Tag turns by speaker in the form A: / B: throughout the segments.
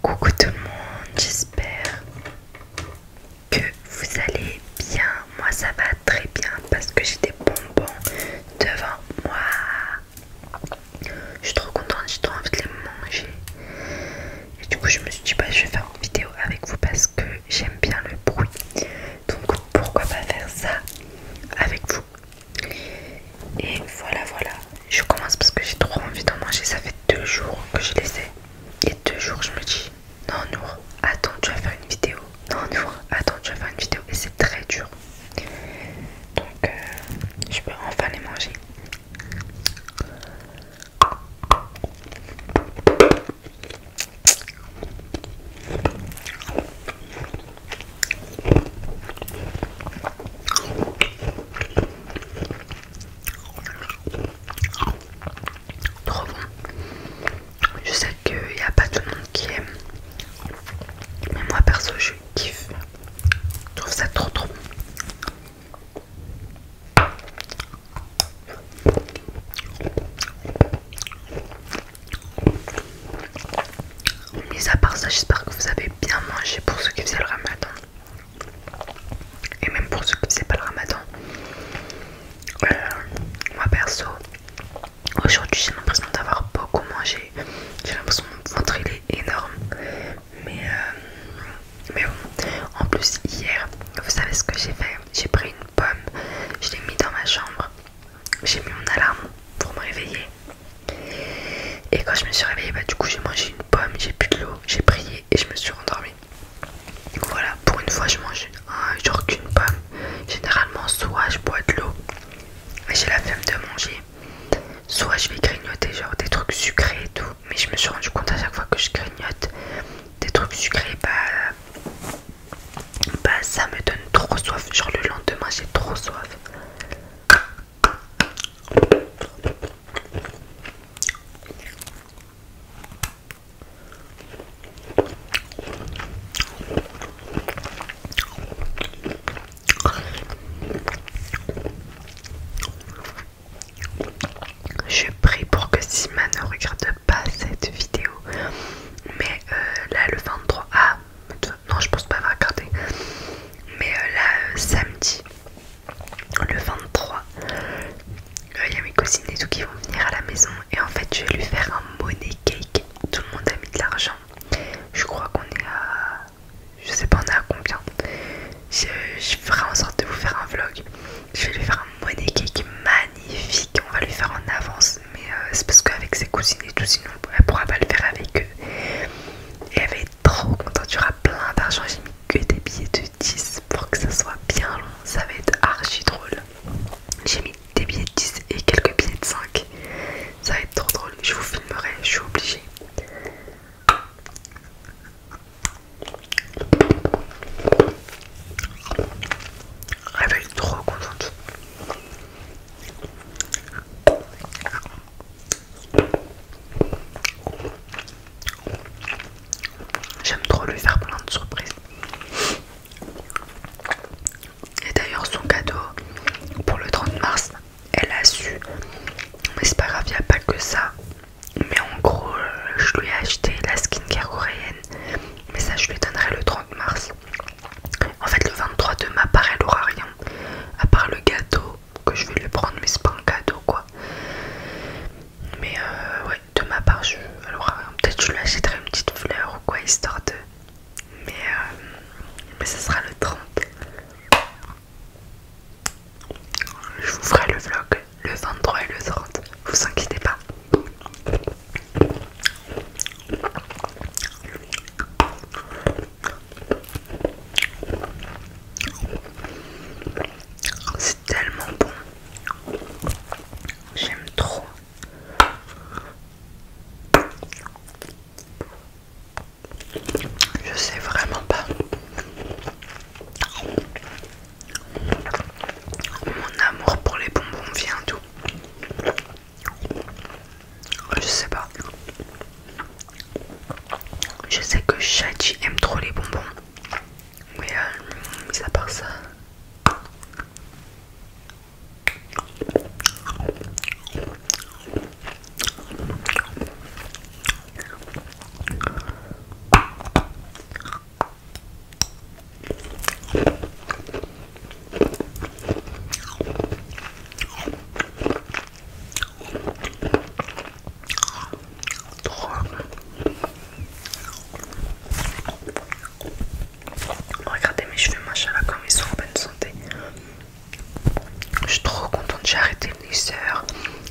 A: Coucou tout le monde, j'espère que vous allez bien. Moi ça va très bien parce que j'ai des bonbons devant moi. Je suis trop contente, j'ai trop envie de les manger. Et du coup je me suis dit bah je vais faire une vidéo avec vous parce que j'aime bien le bruit. Donc pourquoi pas faire ça avec vous. Et voilà voilà je commence parce que j'ai trop envie d'en manger. Ça fait deux jours que je les ai. Et deux jours, je me dis Non, Nour, attends, tu vas faire une vidéo. Non, Nour, attends, tu vas faire une vidéo. Et c'est très dur. Donc, euh, je peux enfin les manger. Trop bon. Je sais qu'il n'y a pas tout le monde qui aime. Mais moi perso je kiffe. Je trouve ça trop trop bon. Mis à part ça, j'espère que vous avez bien mangé pour ceux qui faisaient le ramadan. Et même pour ceux qui ne savent pas le ramadan, euh, moi perso, aujourd'hui j'ai l'impression d'avoir beaucoup mangé. J'ai l'impression que mon ventre il est énorme. Mais, euh, mais bon, en plus hier, vous savez ce que j'ai fait J'ai pris une pomme, je l'ai mis dans ma chambre, j'ai mis mon alarme pour me réveiller. Et quand je me suis réveillée, bah, du coup, j'ai mangé une pomme, j'ai bu de l'eau, j'ai prié et je me suis rendormie. voilà, pour une fois, je mange un, genre qu'une pomme. Généralement, soit je bois de l'eau et j'ai la flemme de manger, soit je vais grignoter genre des trucs sucrés et tout. Mais je me suis rendu compte à chaque fois que je grignote des trucs sucrés, bah, bah ça me donne trop soif. Genre le lendemain, j'ai trop soif. Je prie pour que Sima ne regarde pas cette vidéo. Mais euh, là, le 23. Ah, non, je pense pas avoir regarder Mais euh, là, euh, samedi, le 23, il euh, y a mes cousines et tout qui vont venir à la maison et en fait je vais lui faire un money cake. Tout le monde a mis de l'argent. Je crois qu'on est à... Je sais pas on est à combien. Je, ferai en sorte de vous faire un vlog. Je vais lui faire un money cake magnifique. On va lui faire en avance. Mais euh, c'est parce qu'avec ses cousines et tout sinon elle pourra pas le faire avec eux. Et trop contente, tu auras plein d'argent. J'ai mis que des billets de 10 pour que ça soit bien long. Ça va être archi drôle. J'ai mis des billets de 10 et quelques billets de 5. Ça va être trop drôle. Je vous filmerai, je suis obligée. Elle trop contente. J'aime trop lui faire plein de surprises. Et d'ailleurs son cadeau pour le 30 mars, elle a su. Mais c'est pas grave, il a pas que ça. Mais en gros, euh, je lui ai acheté la skincare coréenne. Mais ça, je lui donnerai le 30 mars. En fait, le 23 de mars elle aura rien. À part le gâteau que je vais lui prendre, mais c'est pas un cadeau quoi. Mais euh, ouais, de ma part, je, alors euh, peut-être je lui achèterai une petite fleur ou quoi, histoire de. Mais, euh, mais ça sera le 30. Je vous ferai le vlog le 23 et le 30, vous inquiétez pas. C'est tellement bon. J'aime trop. Je sais vraiment pas mon amour pour les bonbons vient d'où je sais pas. Je sais que Shachi aime trop les bonbons. Mais euh, à part ça. Regardez mes cheveux, machin, là, comme ils sont en bonne santé. Je suis trop contente, j'ai arrêté le soeurs.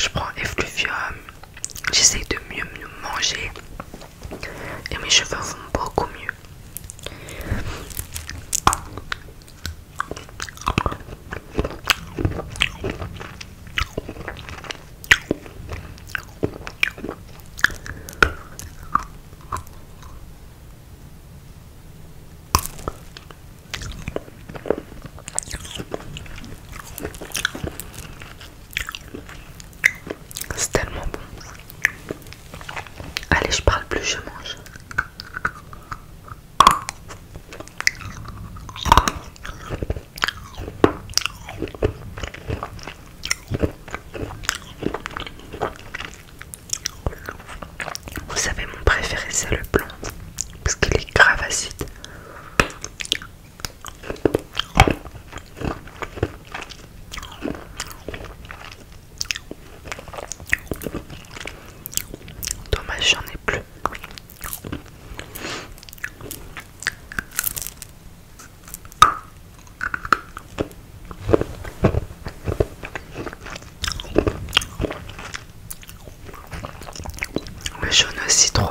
A: Je prends Effluvium. J'essaye de mieux, mieux manger. Et mes cheveux vont beaucoup mieux. C'est tellement bon. Allez, je parle plus, je mange. Vous savez, mon préféré c'est le blanc parce qu'il est grave acide. Dommage, j'en ai plus. Le jaune aussi trop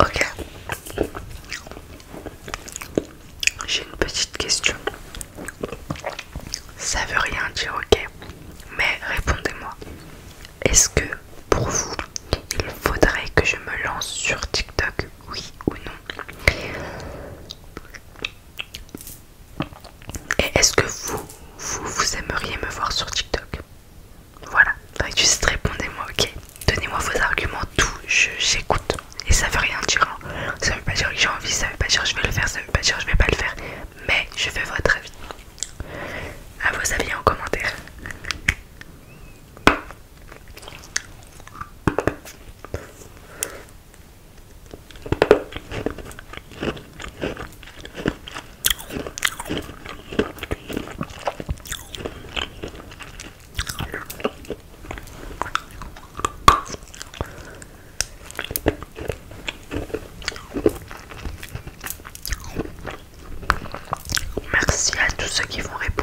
A: Ok. J'ai une petite question. Ça veut rien dire, ok. Mais répondez-moi. Est-ce que pour vous, il faudrait que je me lance sur TikTok, oui ou non Et est-ce que vous, vous, aimeriez me voir sur TikTok voilà, juste répondez-moi, ok Donnez-moi vos arguments, tout, j'écoute. Et ça veut rien dire, hein. ça veut pas dire que j'ai envie, ça veut pas dire que je vais le faire, ça veut pas dire que je vais pas le faire. Mais je fais votre avis. À vos avis en commentaire. Merci à tous ceux qui vont répondre.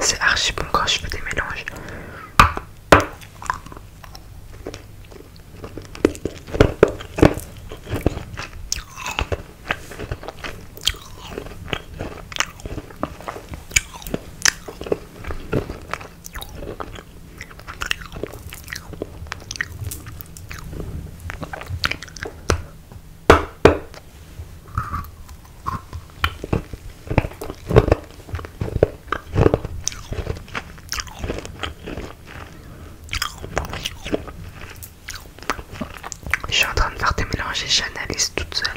A: C'est archi bon quand je fais des mélanges. Je suis en train de faire des mélanges et j'analyse toute seule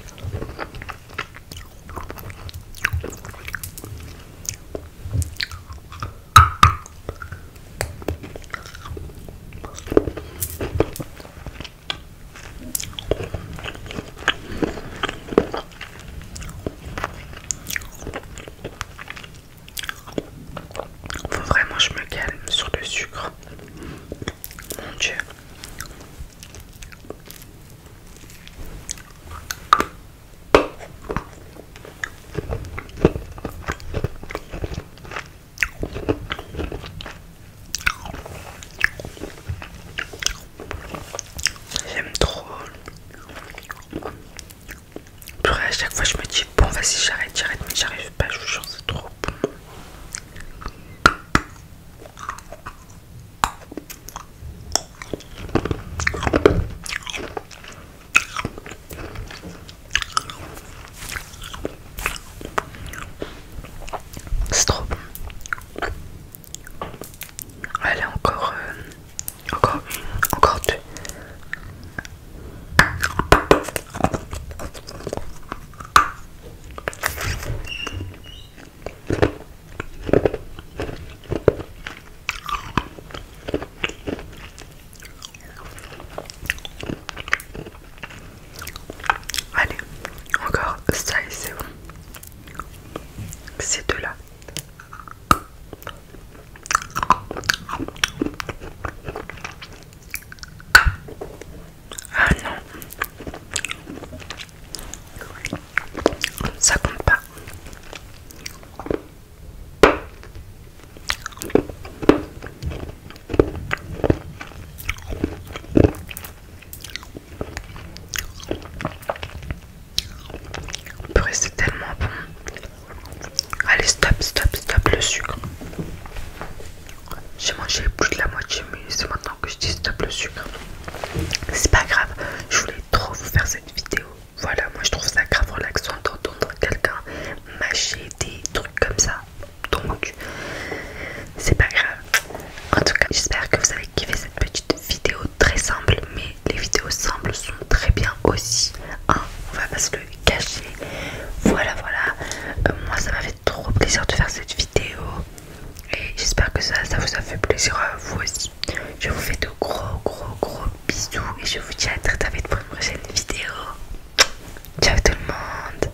A: vraiment je me calme sur le sucre. Mon Dieu. J'aime trop. Après, à chaque fois, je me dis bon, vas-y, j'arrête, j'arrête, mais j'arrive pas, je vous jure, c'est trop bon. C'est trop bon. Allez, encore, euh, encore, encore deux. Allez, encore ça et c'est bon. Ces deux-là. Ah non. Ça compte pas on peut rester tellement bon. Allez, stop, stop, stop le sucre. J'ai mangé plus de la moitié, mais c'est maintenant que je dis stop le sucre. C'est pas grave, je voulais trop vous faire cette vidéo. Voilà, moi je trouve ça grave relaxant d'entendre quelqu'un mâcher des trucs comme ça donc c'est pas grave. En tout cas, j'espère que vous avez kiffé cette petite vidéo très simple, mais les vidéos simples sont très bien aussi. Hein. on va pas se le cacher. Voilà, voilà. Euh, moi, ça m'a fait trop plaisir de faire cette vidéo. Et j'espère que ça, ça vous a fait plaisir à vous aussi. Je vous fais de gros, gros, gros bisous. Et je vous dis à très très vite pour une prochaine vidéo. Ciao tout le monde.